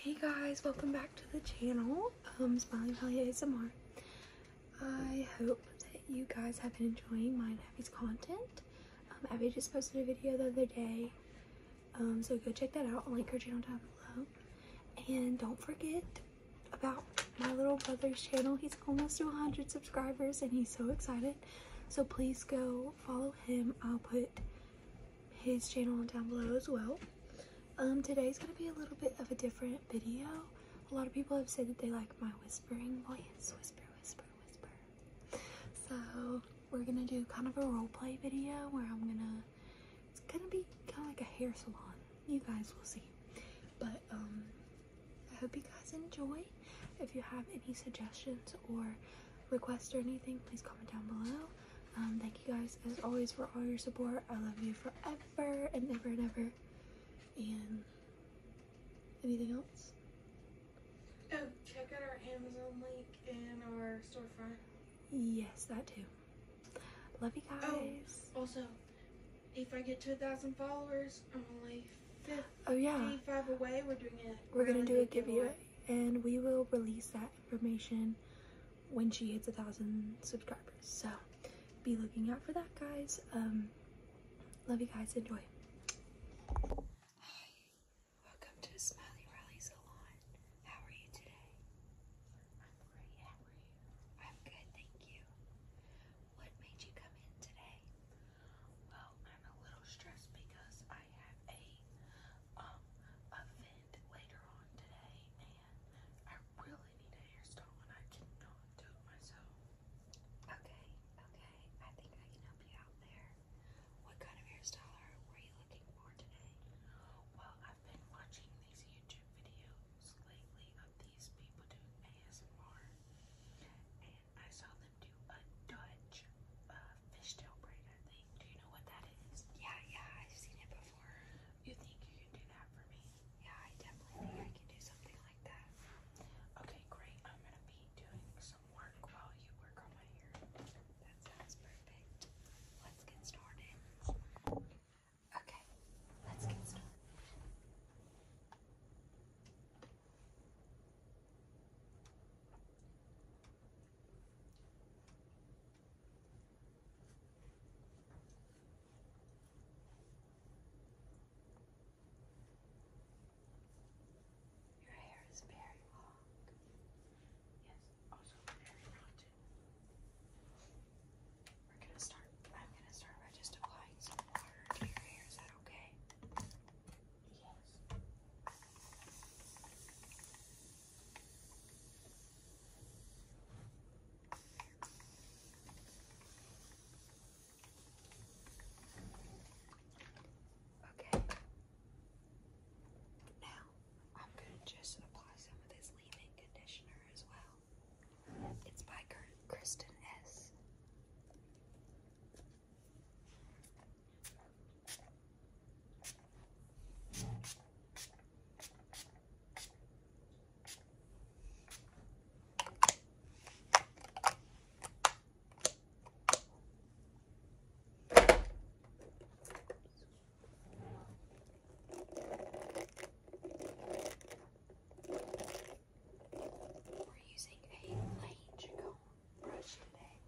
Hey guys, welcome back to the channel, um, Smiling Valley ASMR. I hope that you guys have been enjoying my Abby's content. Um, Abby just posted a video the other day, um, so go check that out. I'll link her channel down below. And don't forget about my little brother's channel. He's almost to 100 subscribers and he's so excited. So please go follow him. I'll put his channel down below as well. Um, today's gonna be a little bit of a different video. A lot of people have said that they like my whispering voice, whisper, whisper, whisper. So we're gonna do kind of a roleplay video where I'm gonna, it's gonna be kind of like a hair salon. You guys will see. But um, I hope you guys enjoy. If you have any suggestions or requests or anything, please comment down below. Um, thank you guys as always for all your support. I love you forever and ever and ever. And anything else? Oh, check out our Amazon link and our storefront. Yes, that too. Love you oh, guys. Oh, also, if I get two thousand followers, I'm only 55 oh, yeah. away. We're doing it. We're, gonna, do a giveaway and we will release that information when she hits a thousand subscribers so be looking out for that guys um, love you guys enjoy welcome to smiley rally salon how are you today i'm great how are you i'm good thank you what made you come in today well i'm a little stressed because i have a um a later on today, I really need a hairstyle, and I cannot do it myself. Okay, okay. I think I can help you out there. What kind of hairstyle are, were you looking for today? Well, I've been watching these YouTube videos lately of these people doing ASMR, and I saw them do a Dutch uh, fishtail braider thing. Do you know what that is? Yeah, yeah, I've seen it before. You think you can do that for me? Yeah, I definitely think I can do something like that. Okay, great. I'm gonna be doing some work while you work on my hair. That sounds perfect. Let's get started. Okay, let's get started. Your hair is very long. Yes, also very mounted. We're gonna start. I'm gonna start by just applying some water to your hair. Is that okay? Yes. Okay. Now, I'm going to just apply some of this leave-in conditioner as well. It's by Kristen S. We're using a lange comb brush today.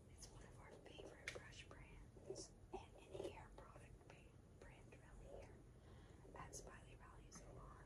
It's one of our favorite brush brands and an hair product brand really here at Smiley Valley Salon.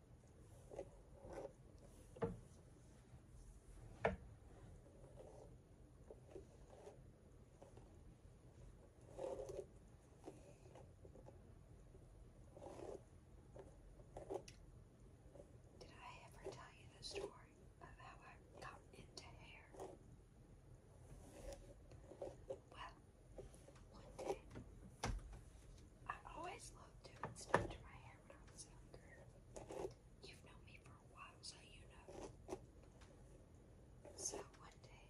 Did I ever tell you the story of how I got into hair? Well, one thing I always loved doing stuff to my hair when I was younger. You've known me for a while, so you know. So one day,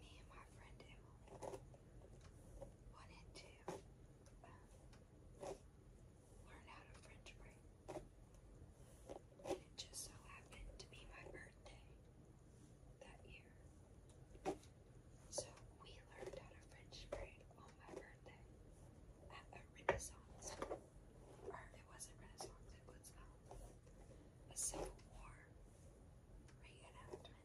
me and my friend Emily wanted to um, learn how to French braid. And it just so happened to be my birthday that year. So we learned how to French braid on my birthday at a Renaissance, or it wasn't Renaissance, it was um, a Civil War reenactment.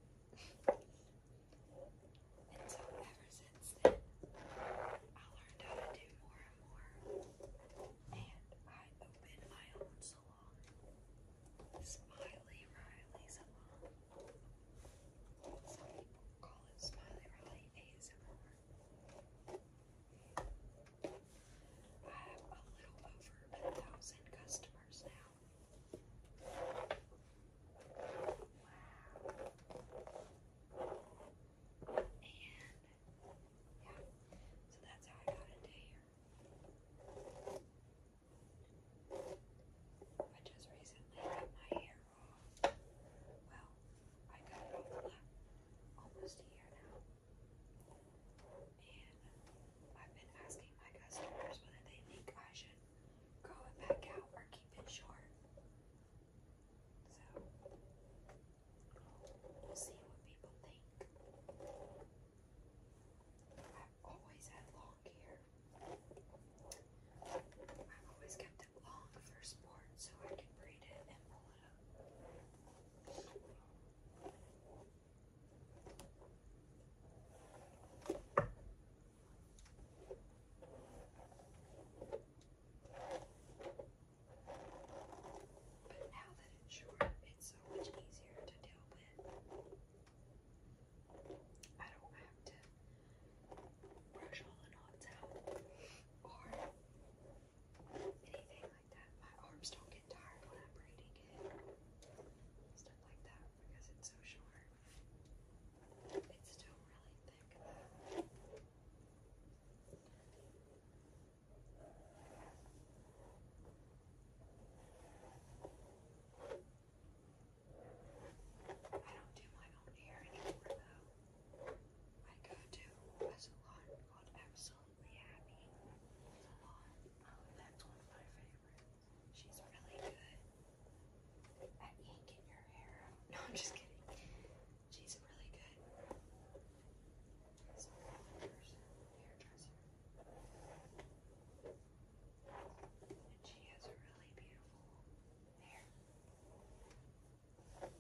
and so ever since then, I learned how to do more and more, and I opened my own salon, Smiley Riley Salon. Colin Smiley Rally ASMR. I have a little over a thousand customers now. Wow. And yeah, so that's how I got into here. I just recently cut my hair off. Well, I cut it off almost a year now. And I've been asking my customers whether they think I should grow it back out or keep it short. So, we'll see what people think. I've always had long hair. I've always kept it long for sport so I can braid it and pull it up. But now that it's short, it's so much easier to deal with. I don't have to brush all the knots out or anything like that. My arms don't get tired when I'm braiding it. Stuff like that because it's so short. It's still really thick I don't do my own hair anymore though. I go to a salon called Absolutely Happy that's one of my favorites. She's really good at yanking your hair No, I'm just kidding. She's really good she has a really beautiful hair. Tilt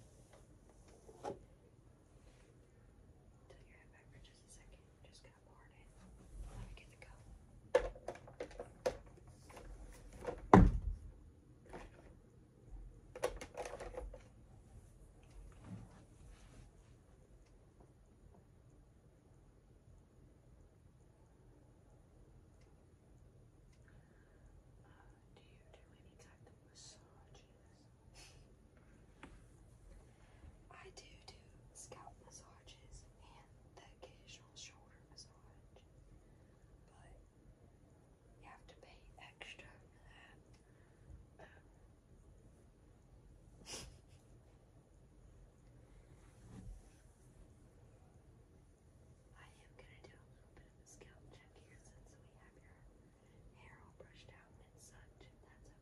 your head back for just a 2nd just gonna part it. Let me get the cup. Uh, do you do any kind of massages? I do do scalp massages and the occasional shoulder massage, but you have to pay extra for that. Um, I am gonna do a little bit of a scalp check here since we have your hair all brushed out and such, if that's you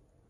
Okay.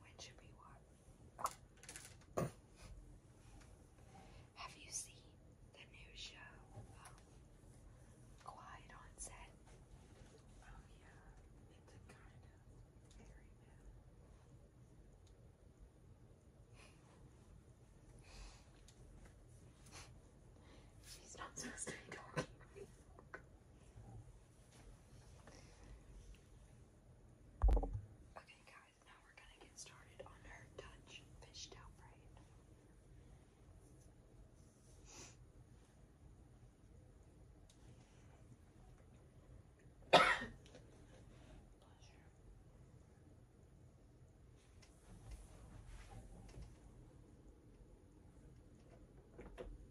When should we watch? Have you seen the new show? Um, Quiet on Oh yeah, it's a kind of very bad. She's not supposed to be talking. Okay, guys, now we're gonna get started on our touch fishtail braid. Pleasure.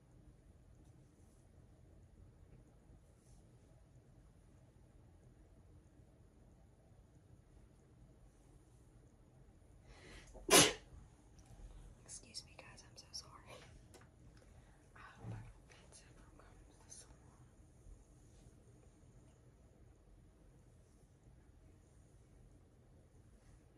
Excuse me, guys, I'm so sorry. Um,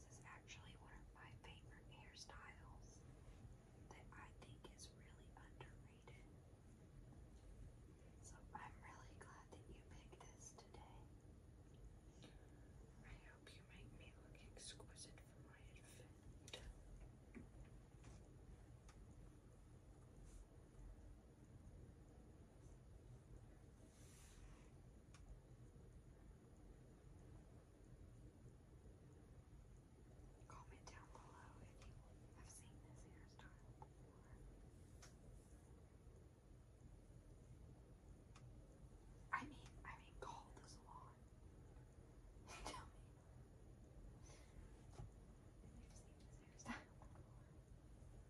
This is actually one of my favorite hairstyles that I think is really underrated. So I'm really glad that you picked this today. I hope you make me look exquisite for my event. Comment down below if you have seen this hairstyle I mean, I mean, call the salon. Tell me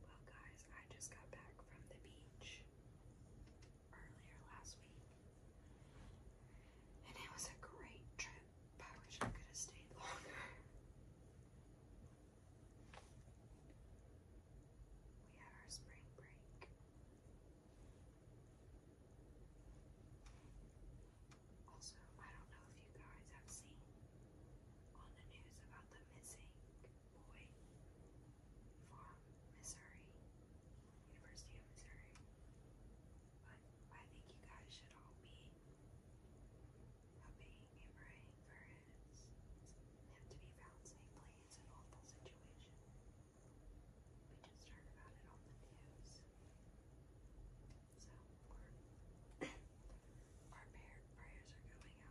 Well, guys, I just got back from the beach earlier last week, and it was a great trip. But I wish I could have stayed longer. We had our spring break. Also, I don't know if you guys have seen on the news about the missing boy from Missouri, University of Missouri, but I think you guys should all be hoping and praying for his, him to be found safely. It's an awful situation. We just heard about it on the news. So our, prayers are going out to his family and friends right now.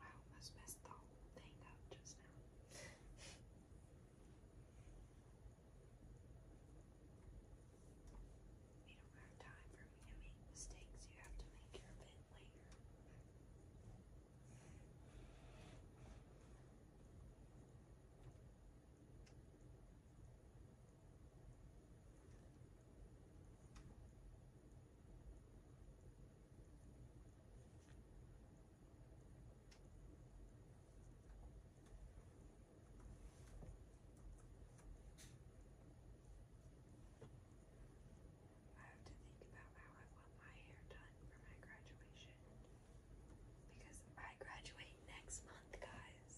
I almost messed the whole thing up just now. You don't have time for me to make mistakes. You have to make your bit later. I have to think about how I want my hair done for my graduation because I graduate next month, guys.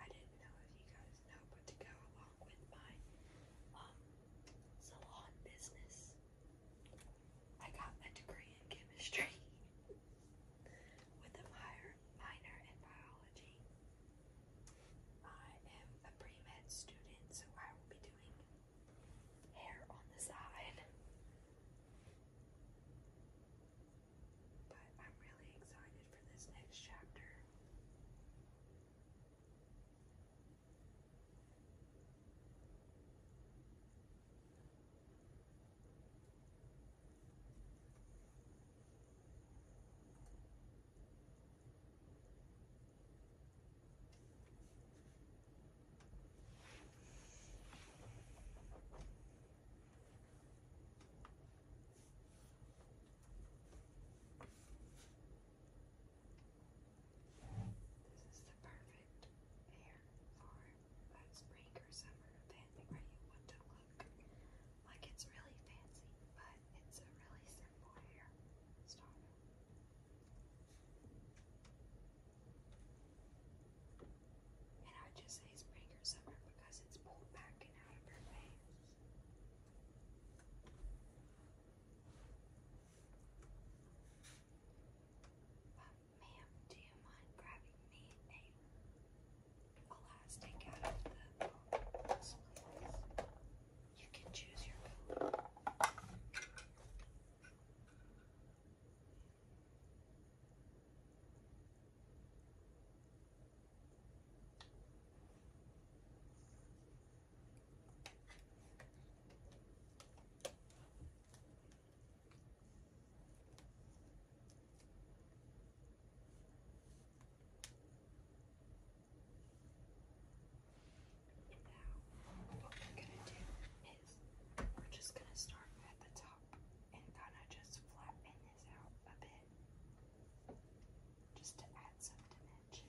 I didn't know if you guys know, but to go along with my um salon business, I got a degree in chemistry. with a minor, in biology. I am a pre student, so I will be doing hair on the side. But I'm really excited for this next chapter. This is the perfect pair for if it's spring or summer fancy where you want to look like it's really fancy, but it's a really simple hair style. And I would just say spring or summer because it's pulled back and out of her bangs. Um, Ma'am, do you mind grabbing me a elastic out of the box, please? You can choose your what we're gonna do is we're just gonna start at the top and kind of just flatten this out a bit just to add some dimension.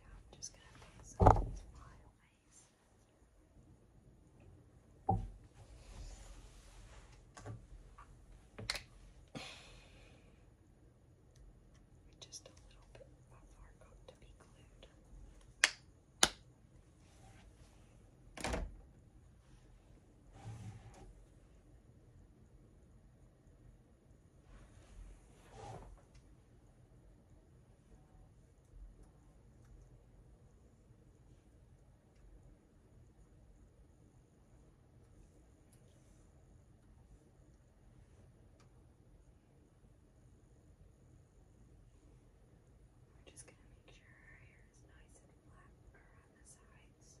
Now I'm just going to pick some flyaways. Just a little bit of our coat to be glued. We're just going to make sure our hair is nice and flat around the sides.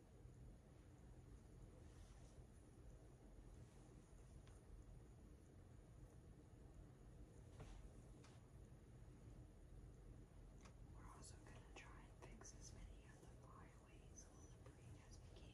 We're also going to try and fix as many of the on the brain as we can.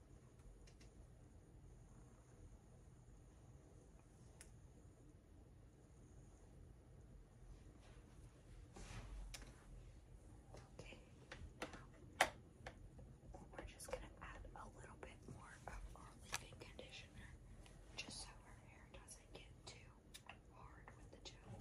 Okay, now we're just going to add a little bit more of our leave-in conditioner just so our hair doesn't get too hard with the gel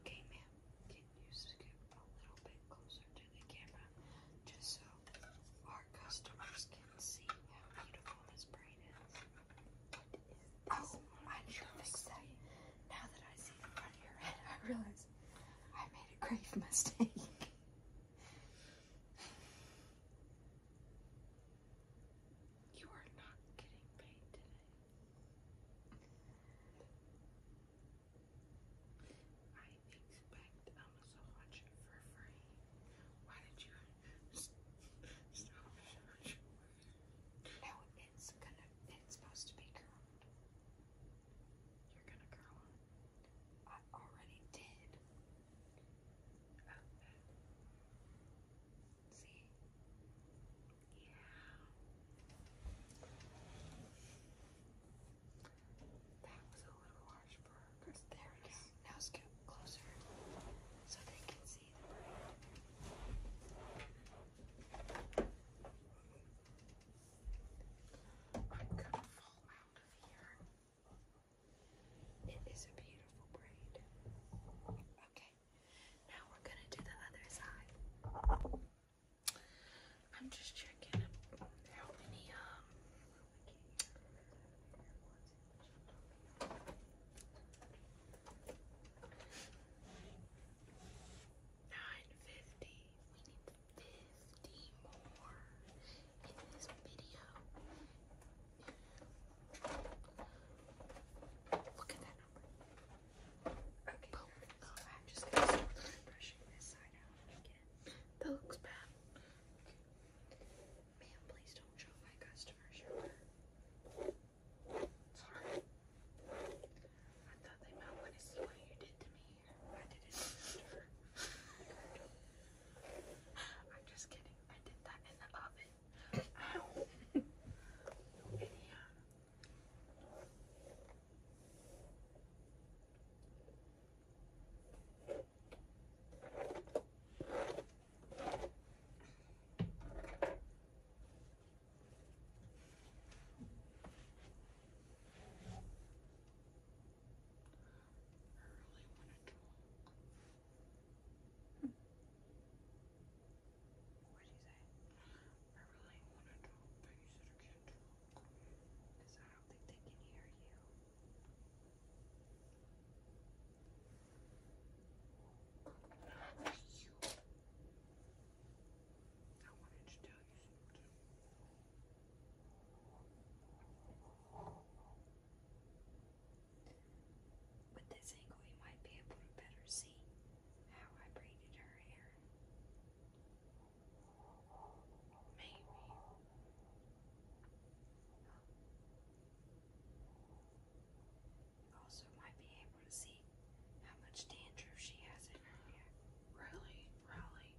Okay, ma'am, can you scoop a little bit closer to the camera just so our customers can see how beautiful this braid is? this? I Now that I see the front of your head, I realize I made a grave mistake. You are not getting paid today. I expect um so for free. Why did you no, it's gonna, it's supposed to be curled. You're gonna curl it? I already did. See? Yeah. That was a little harsh for her. There we go. Now scoot closer so they can I'm going fall out of here. It is a beautiful braid. Okay, now we're gonna do the other side. I'm just checking how many um Nine fifty. We need fifty more in this video. Look at that number. Okay. Boom. Oh, I'm just gonna start brushing this side out again. That looks bad. Ma'am, please don't show my customers your work. Sorry. I thought they might want to see what you did to me. I didn't do I'm just kidding. I did that in the oven. Ow. yeah. I really want to talk, but you sort of can't talk because I don't think they can hear you. I wanted to tell you something. With this angle, you might be able to better see how I braided her hair. Maybe. You also might be able to see how much dandruff she has in her hair. Really? Really?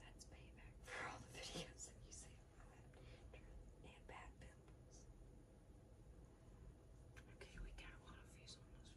That's payback for all the videos that you see and bad pimples. Okay, we got a lot of views on this video,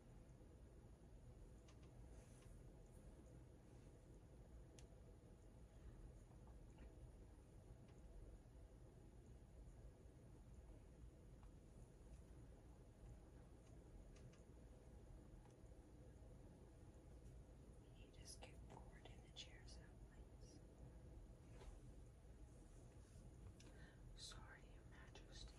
You just get bored in the chair someplace. Sorry, Your Majesty.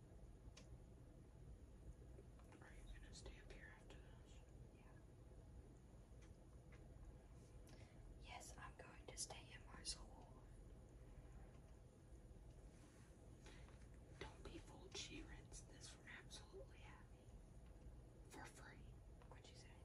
Are you gonna stay up here after this? Yeah. Yes, I'm going to stay in my soul. Don't be fooled, she rents this from absolutely happy. For free. What'd you say?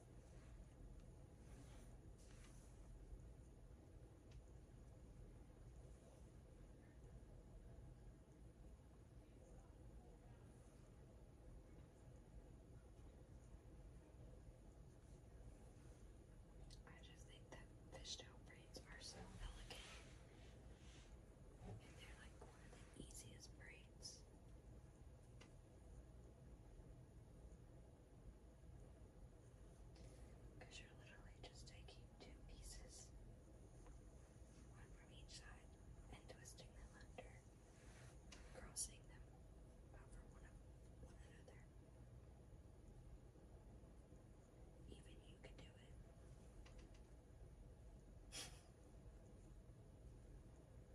I just think that fishtail braids are so elegant. And they're like one of the easiest braids. Because you're literally just taking two pieces, one from each side, and twisting them under, crossing them over one another. Even you can do it.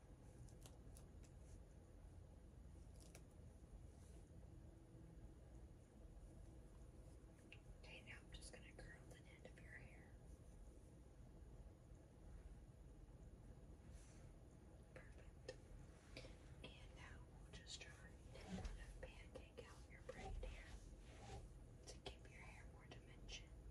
Okay, now I'm just going to curl the end of your hair. Perfect. And now we'll just try and pancake out your braid here to give your hair more dimension.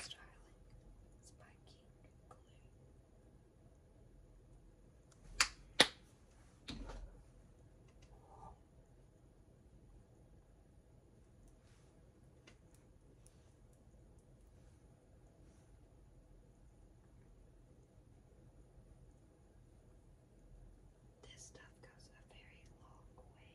styling, spiking glue. This stuff goes a very long way.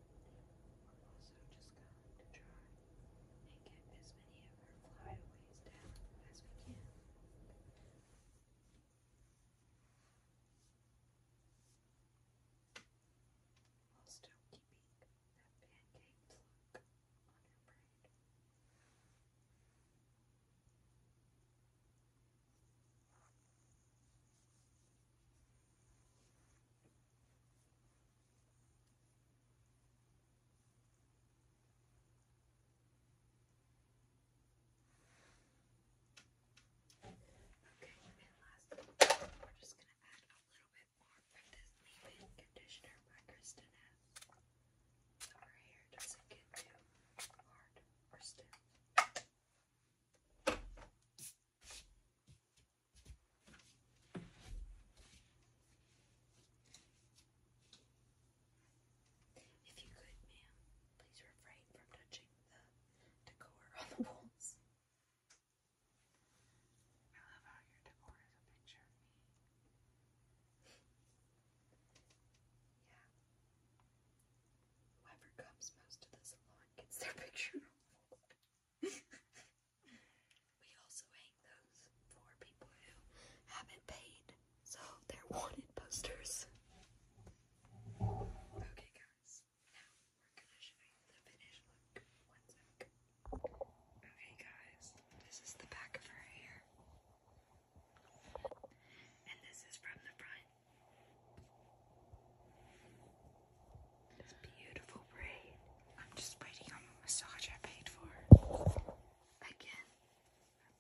We're also just going to try and get as many of our flyaways down as we can. While still keeping that pancake pluck on her braid. Okay, and last, we're just going to add a little bit more of this leave-in conditioner by Kristen S. So our hair doesn't get too hard or stiff. Okay. If you could, ma'am, please refrain from touching the decor on the walls. I love how your decor is a picture of me. yeah. Whoever comes most to the salon gets their picture on the wall we also hang those for people who haven't paid, so they're wanted posters. Okay, guys, now we're gonna show you the finished look. One sec. Okay, guys, this is the back of her hair, and this is from the front. This beautiful braid. I'm just waiting on the massage I paid for. Again,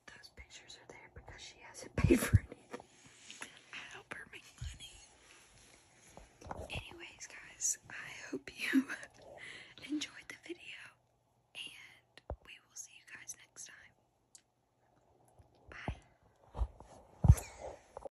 those pictures are there because she hasn't paid for anything. I help her make money. Anyways, guys, I hope you enjoyed the video, and we will see you guys next time. Bye.